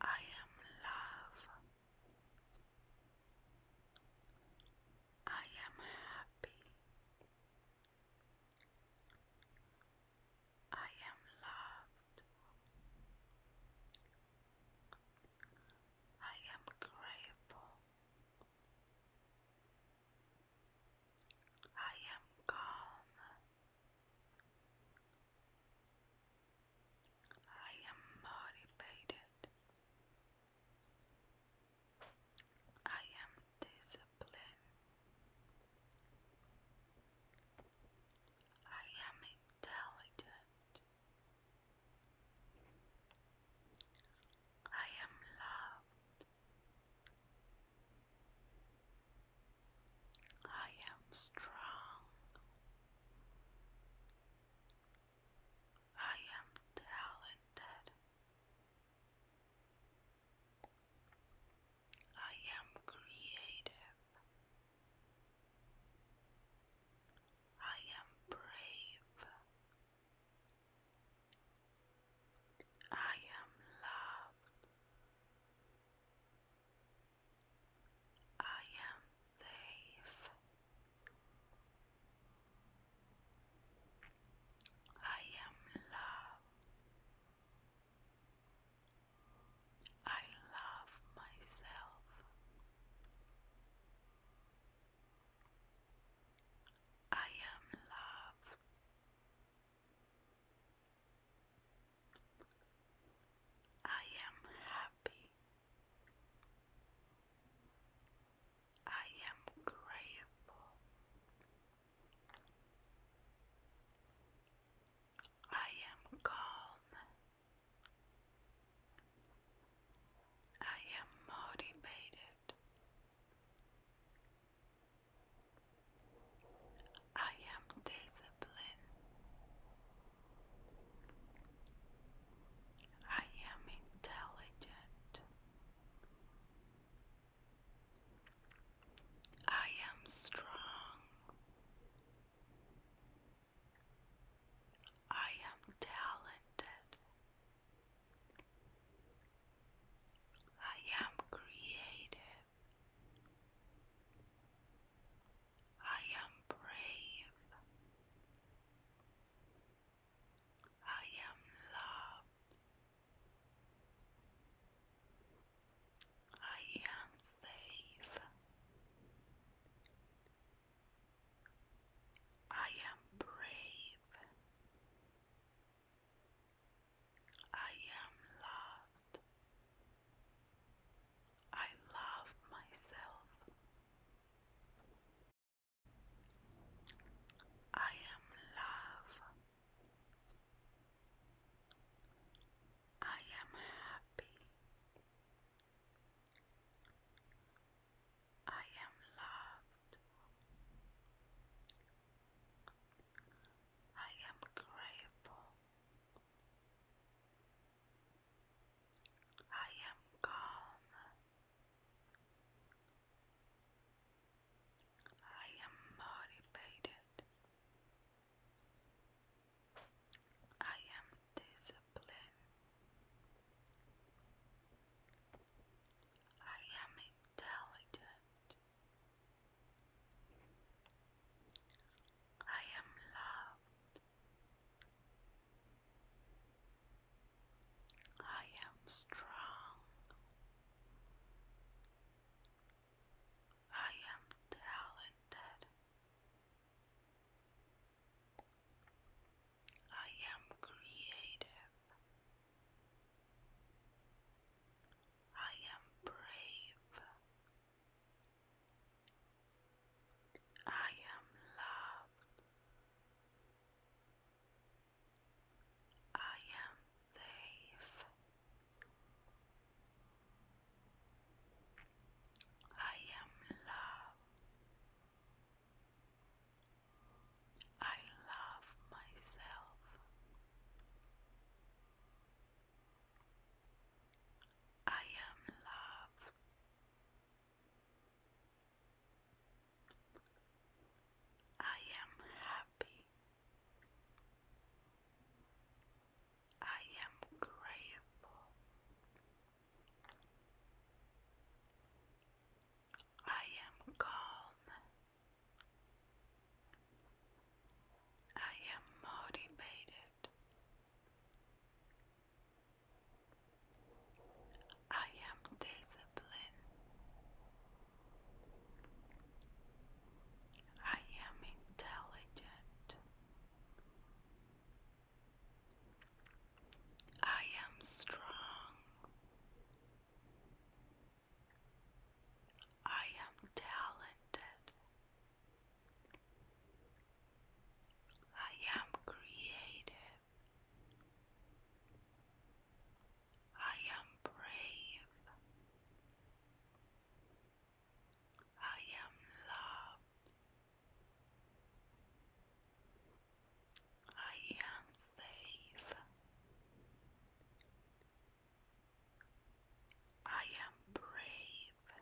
I am love. I am happy. I am loved. I am grateful. I I am calm. I am motivated. I am disciplined. I am intelligent. I am loved. I am strong. I am talented. I am creative. I am brave. I am loved. I am safe. I am love. I love myself. I am love. I am happy. I am grateful. I am calm. I am motivated. I am disciplined. I am intelligent. I am strong. I am talented. I am creative. I am brave. I am loved. I am safe. I am brave. I am loved. I love myself. I am love. I am happy. I am loved. I am grateful. I am calm. I am motivated. I am disciplined. I am intelligent. I am loved. I am strong. I am talented. I am creative. I am brave. I am loved. I am safe. I am love. I love myself. I am love. I am happy happy. I am grateful. I am calm. I am motivated. I am disciplined. I am intelligent. I am strong. I am talented. I am creative. I am brave. I am loved. I am safe. I am brave.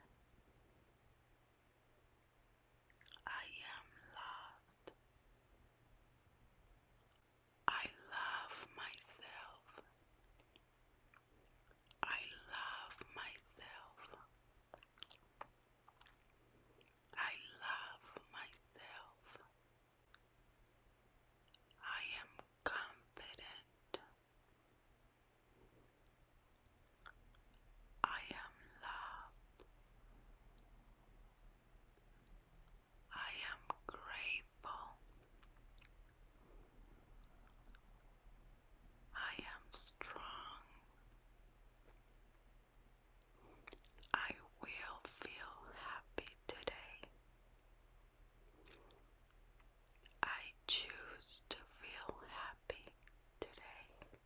I am loved. I love myself. I love myself. I love myself. I am confident. I am loved. I am grateful. I am strong. I will feel happy today. I choose to feel happy today.